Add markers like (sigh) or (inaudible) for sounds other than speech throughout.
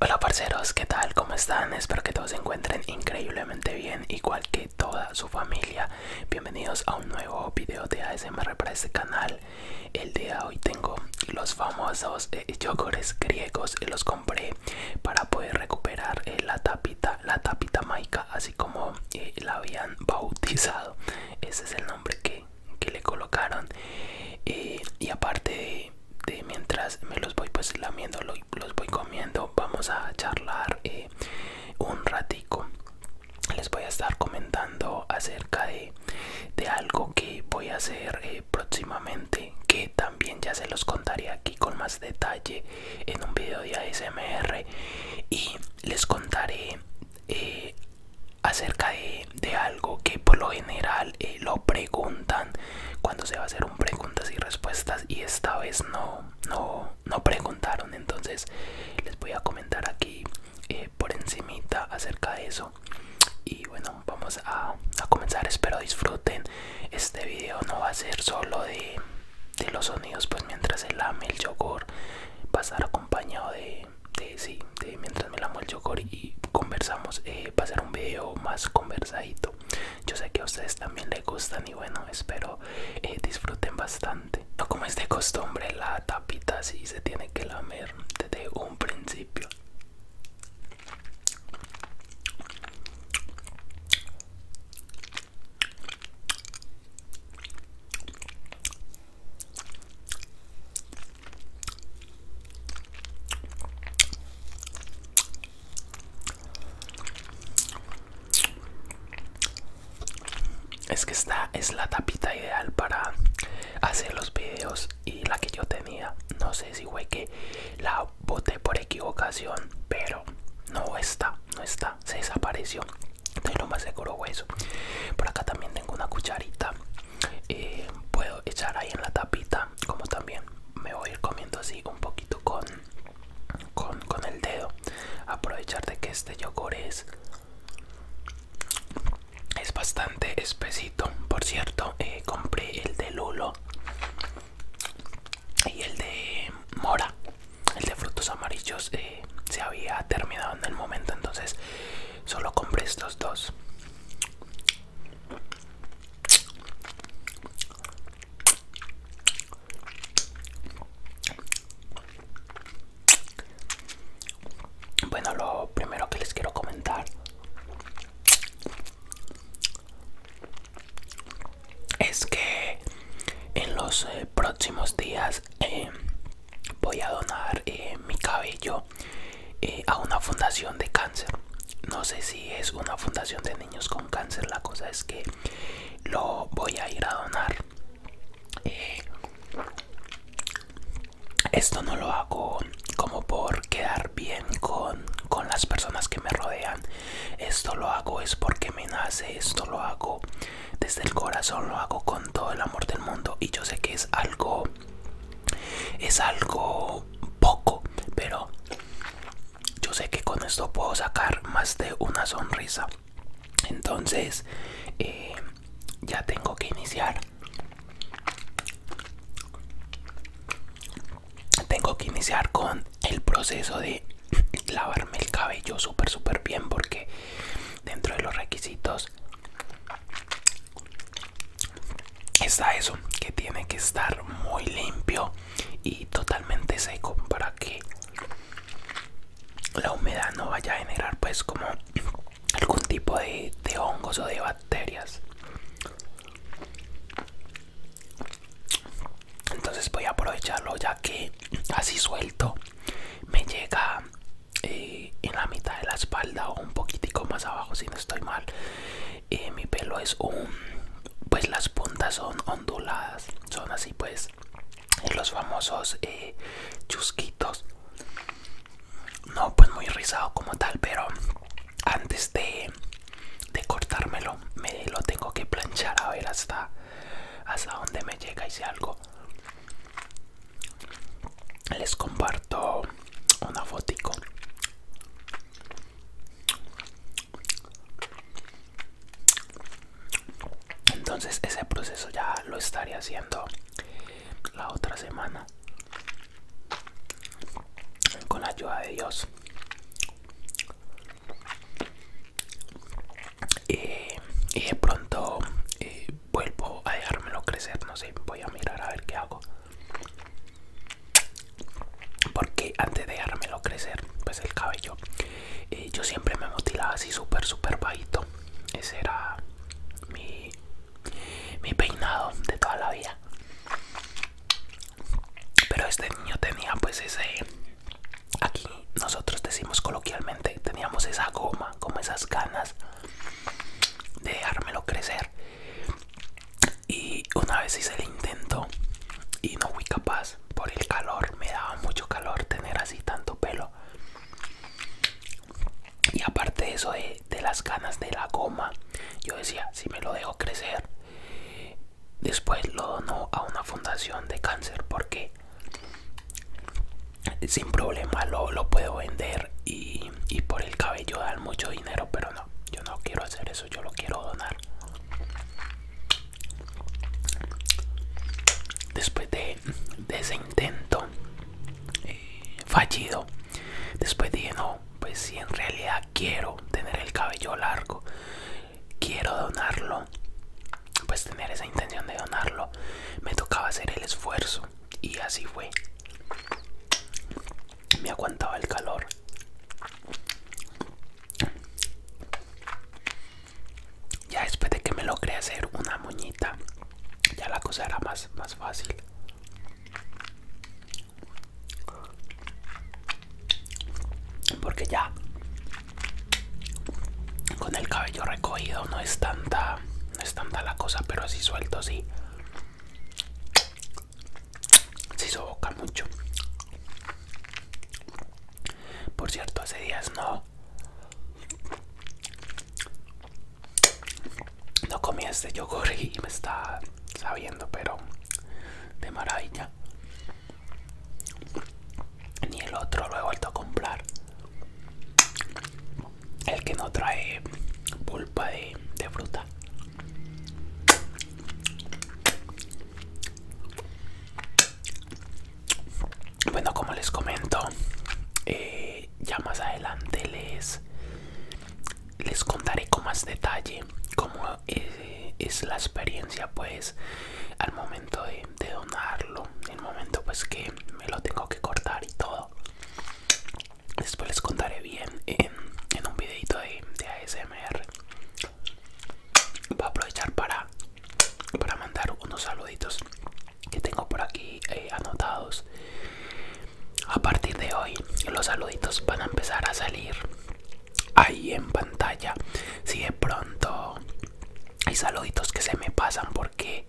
Hola parceros, ¿qué tal? ¿Cómo están? Espero que todos se encuentren increíblemente bien, igual que toda su familia. Bienvenidos a un nuevo video de ASMR para este canal. El día de hoy tengo los famosos eh, yogures griegos, eh, los compré para poder recuperar eh, la tapita, la tapita maica, así como la habían (laughs) bautizado. Ese es el nombre que, le colocaron. y aparte de mientras me los voy pues lamiendo los voy comiendo vamos a charlar eh, un ratico les voy a estar comentando acerca de, algo que voy a hacer eh, próximamente que también ya se los contaré aquí con más detalle en un video de ASMR y les contaré eh, acerca de de, algo que por lo general eh, lo preguntan cuando se va a hacer un preguntas y respuestas y esta vez no, no, no preguntaron. Entonces les voy a comentar aquí eh, por encimita acerca de eso. Y bueno, vamos a, comenzar. Espero disfruten. Este video no va a ser solo de, de los sonidos, pues mientras el lame el yogur va a estar acompañado de de sí, mientras me la el yogur y conversamos, pasar eh, un video más conversadito. Yo sé que a ustedes también les gustan y bueno, espero eh, disfruten bastante. No como es de costumbre, la tapita sí se tiene que lamer desde un principio. Es que esta es la tapita ideal para hacer los videos y la que yo tenía. No sé si fue que la boté por equivocación, pero no está, no está, se desapareció. estoy lo más seguro fue eso. Por acá también tengo una cucharita eh, puedo echar ahí en la tapita como también me voy a ir comiendo así un poquito con con, el dedo aprovechar de que este yogur es es bastante espesito por cierto eh, compré el de lulo y el de mora el de frutos amarillos eh, se había terminado en el momento entonces Solo compré estos dos. Bueno, lo primero que les quiero comentar es que en los eh, próximos días eh, voy a donar eh, mi cabello eh, a una fundación de cáncer. No sé si es una fundación de niños con cáncer, la cosa es que lo voy a ir a donar. Eh, esto no lo hago como por quedar bien con, con las personas que me rodean. Esto lo hago es porque me nace, esto lo hago desde el corazón lo hago con todo el amor del mundo y yo sé que es algo es algo poco pero yo sé que con esto puedo sacar más de una sonrisa entonces eh, ya tengo que iniciar tengo que iniciar con el proceso de lavarme el cabello súper súper bien porque dentro de los requisitos está eso que tiene que estar muy limpio y totalmente seco para que la humedad no vaya a generar pues como algún tipo de, de hongos o de bacterias entonces voy a aprovecharlo ya que así suelto me llega eh, en la mitad de la espalda o un poquitico más abajo si no estoy mal eh, mi pelo es un pues las puntas son onduladas son así pues los famosos eh, chusquitos no pues muy rizado como tal pero antes de, de cortármelo me lo tengo que planchar a ver hasta hasta dónde me llega y si algo les comparto una fotico entonces ese proceso ya lo estaría haciendo la otra semana con la ayuda de Dios eh, y de pronto eh, vuelvo a dejármelo crecer no sé voy a mirar a ver qué hago porque antes de dejármelo crecer pues el cabello eh, yo siempre me mutilaba así súper súper bajito ese era mi peinado de toda la vida pero este niño tenía pues ese Aquí nosotros decimos coloquialmente, teníamos esa goma, como esas ganas de dejármelo crecer. Y una vez hice el intento y no fui capaz por el calor, me daba mucho calor tener así tanto pelo. Y aparte de eso de, de las ganas de la goma, yo decía, si me lo dejo crecer, después lo dono a una fundación de cáncer porque sin problema lo, puedo vender y, por el cabello dar mucho dinero, pero no, yo no quiero hacer eso, yo lo quiero donar. Después de, ese intento eh, fallido, después dije, no, pues si en realidad quiero tener el cabello largo, quiero donarlo, pues tener esa intención de donarlo, me tocaba hacer el esfuerzo y así fue. Me aguantaba el calor. Ya después de que me logré hacer una moñita, ya la cosa era más, más fácil. Porque ya con el cabello recogido no es tanta no la cosa pero así suelto sí sí soboca mucho por cierto hace días no no comí este yogur y me está sabiendo pero de maravilla ni el otro lo he vuelto a comprar el que no trae pulpa de, fruta bueno como les comento eh, ya más adelante les les contaré con más detalle cómo eh, es la experiencia pues al momento momento de, donarlo, el momento pues que me lo tengo que cortar y todo. Después les contaré bien en, un videito de, de ASMR. Voy a aprovechar para, para mandar unos saluditos que tengo por aquí eh, anotados. A partir de hoy los saluditos van a empezar a salir ahí en pantalla si de pronto hay saluditos que se me pasan porque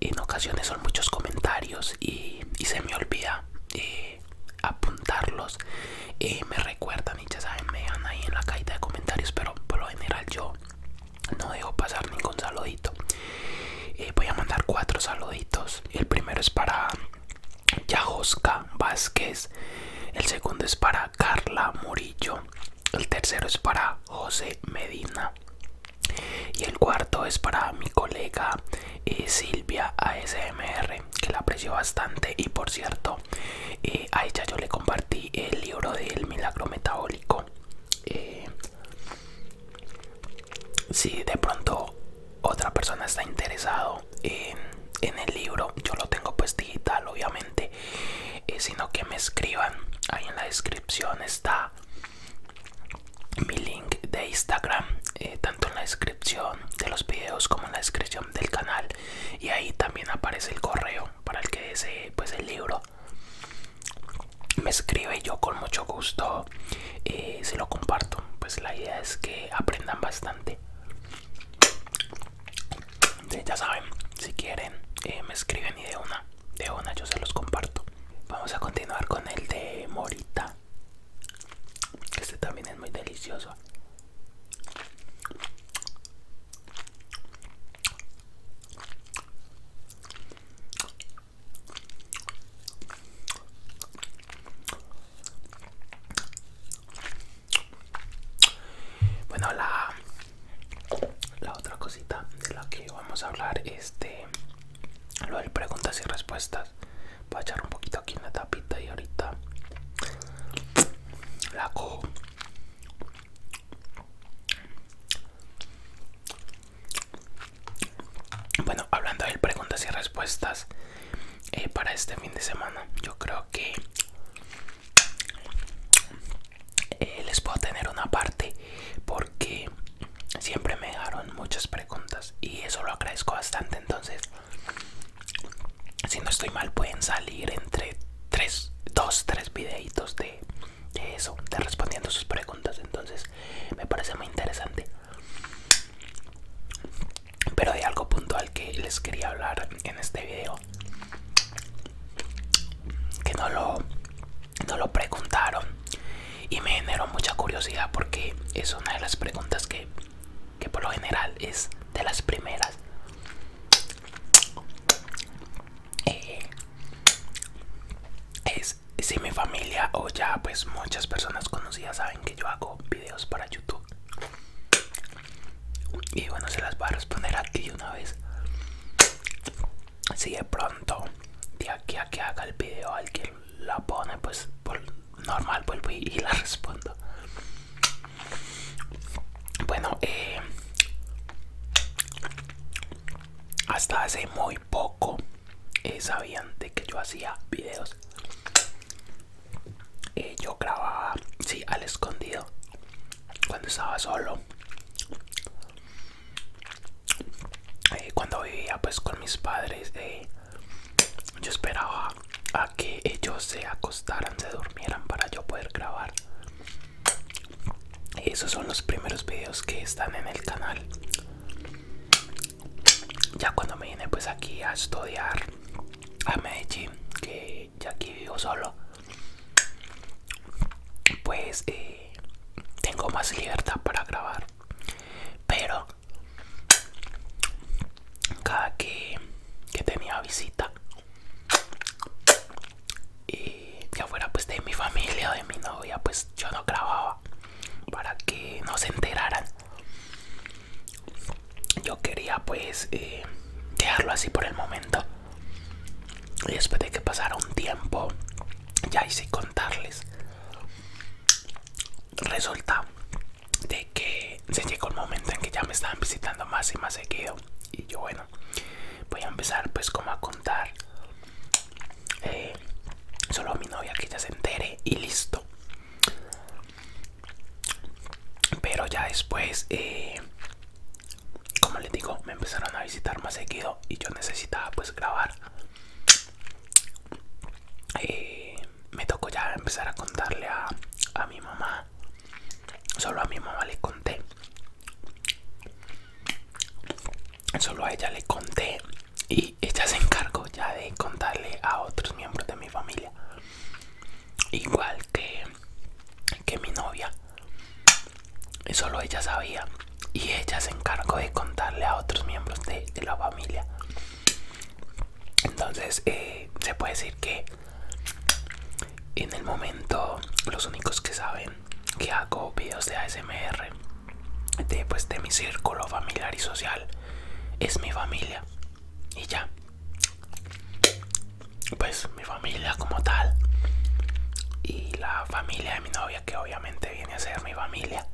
en ocasiones son muchos comentarios y, se me olvida eh, apuntarlos eh, me recuerdan y ya saben me dan ahí en la cajita de comentarios pero por lo general yo no dejo pasar ningún saludito eh, voy a mandar cuatro saluditos el primero es para Yajosca Vázquez. El segundo es para Carla Murillo. El tercero es para José Medina. Y el cuarto es para mi colega eh, Silvia ASMR, que la aprecio bastante. Y por cierto, eh, a ella yo le compartí el libro del milagro metabólico. Eh, si de pronto otra persona está interesada en el libro yo lo tengo pues digital obviamente eh, sino que me escriban ahí en la descripción está mi link de instagram eh, tanto en la descripción de los videos como en la descripción del canal y ahí también aparece el correo para el que desee pues el libro me escribe yo con mucho gusto Si eh, se lo comparto pues la idea es que aprendan bastante ya saben, si quieren, eh, me escriben y de una, de una yo se los comparto. Vamos a continuar con el de Morita. Este también es muy delicioso. Bueno, la, la otra cosita de la que vamos a hablar es lo de preguntas y respuestas. Voy a echar un poquito aquí en la tapita y ahorita la co Bueno, hablando de preguntas y respuestas, eh, para este fin de semana. Yo creo que eh, les puedo tener una parte porque siempre me dejaron muchas preguntas y eso lo agradezco bastante. Entonces, si no estoy mal, pueden salir entre tres, dos, tres videitos de eso, de respondiendo sus preguntas. Entonces, me parece muy interesante pero de algo puntual que les quería hablar en este video que no lo, preguntaron y me generó mucha curiosidad porque es una de las preguntas que, por lo general es de las primeras eh, es si mi familia o ya pues muchas personas conocidas saben que yo hago videos para YouTube. Y bueno, se las voy a responder aquí una vez. Si de pronto, de aquí a que haga el video, alguien la pone, pues por normal vuelvo y, la (laughs) respondo. Bueno, eh, hasta hace muy poco eh, sabían de que yo hacía videos. y eh, yo grababa, sí, al escondido, cuando estaba solo. Eh, cuando vivía pues con mis padres, yo esperaba a que ellos se acostaran, se durmieran para yo poder grabar. Esos son los primeros videos que están en el canal ya cuando me vine pues aquí a estudiar a Medellín, que ya aquí vivo solo, pues eh, tengo más libertad para grabar. Pero cada que, tenía visita, y eh, ya fuera pues de mi familia o de mi novia, pues yo no grababa para, que no se enteraran yo quería pues eh, dejarlo así por el momento y después de que pasara un tiempo ya hice contarles resulta de que se llegó el momento en que ya me estaban visitando más y más seguido y yo bueno voy a empezar pues como a contar eh, solo a mi novia que ya se entere y listo pero ya después eh, como les digo me empezaron a visitar más seguido y yo necesitaba pues grabar eh, me tocó ya empezar a contarle a, a mi mamá solo a mi mamá le conté solo a ella le conté y ella se encargó ya de contarle a otros miembros de mi familia. Igual que, mi novia. Solo ella sabía. Y ella se encargó de contarle a otros miembros de, la familia. Entonces eh, se puede decir que en el momento los únicos que saben que hago videos de ASMR de, pues, de mi círculo familiar y social es mi familia y ya pues mi familia como tal y la familia de mi novia que obviamente viene a ser mi familia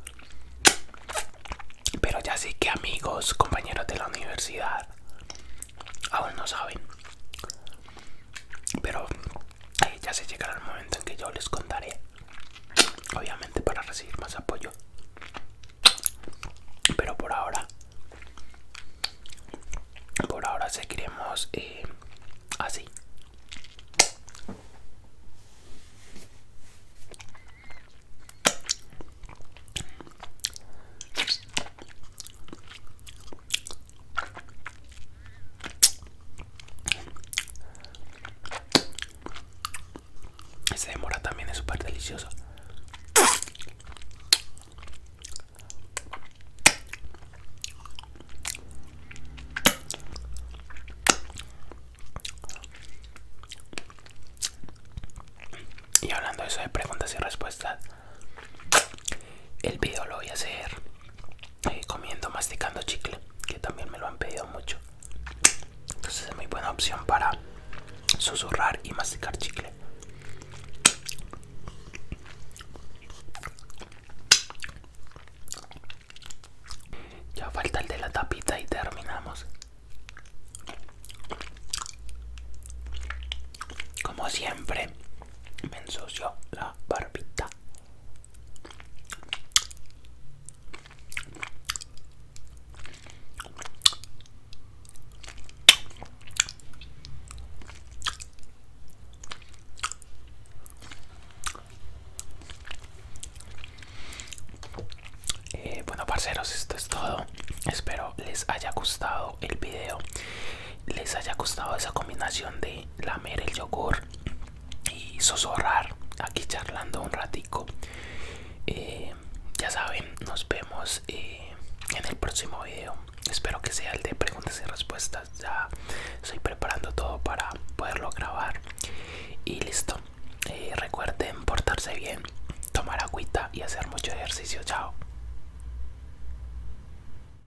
pero ya sí que amigos compañeros de la universidad aún no saben pero ya se llegará el momento en que yo les contaré obviamente para recibir más apoyo pero por ahora por ahora seguiremos eh, así ese de mora también es súper delicioso. Y hablando de eso de preguntas y respuestas, el video lo voy a hacer comiendo, masticando chicle, que también me lo han pedido mucho. Entonces es muy buena opción para susurrar y masticar chicle. Ya falta el de la tapita y terminamos. Como siempre, me ensucio la barbita. Eh, bueno parceros esto es todo espero les haya gustado el video les haya gustado esa combinación de lamer el yogur y susurrar aquí charlando un ratico. Eh, ya saben, nos vemos eh, en el próximo video. Espero que sea el de preguntas y respuestas. Ya estoy preparando todo para poderlo grabar. Y listo. Eh, recuerden portarse bien, tomar agüita y hacer mucho ejercicio. Chao.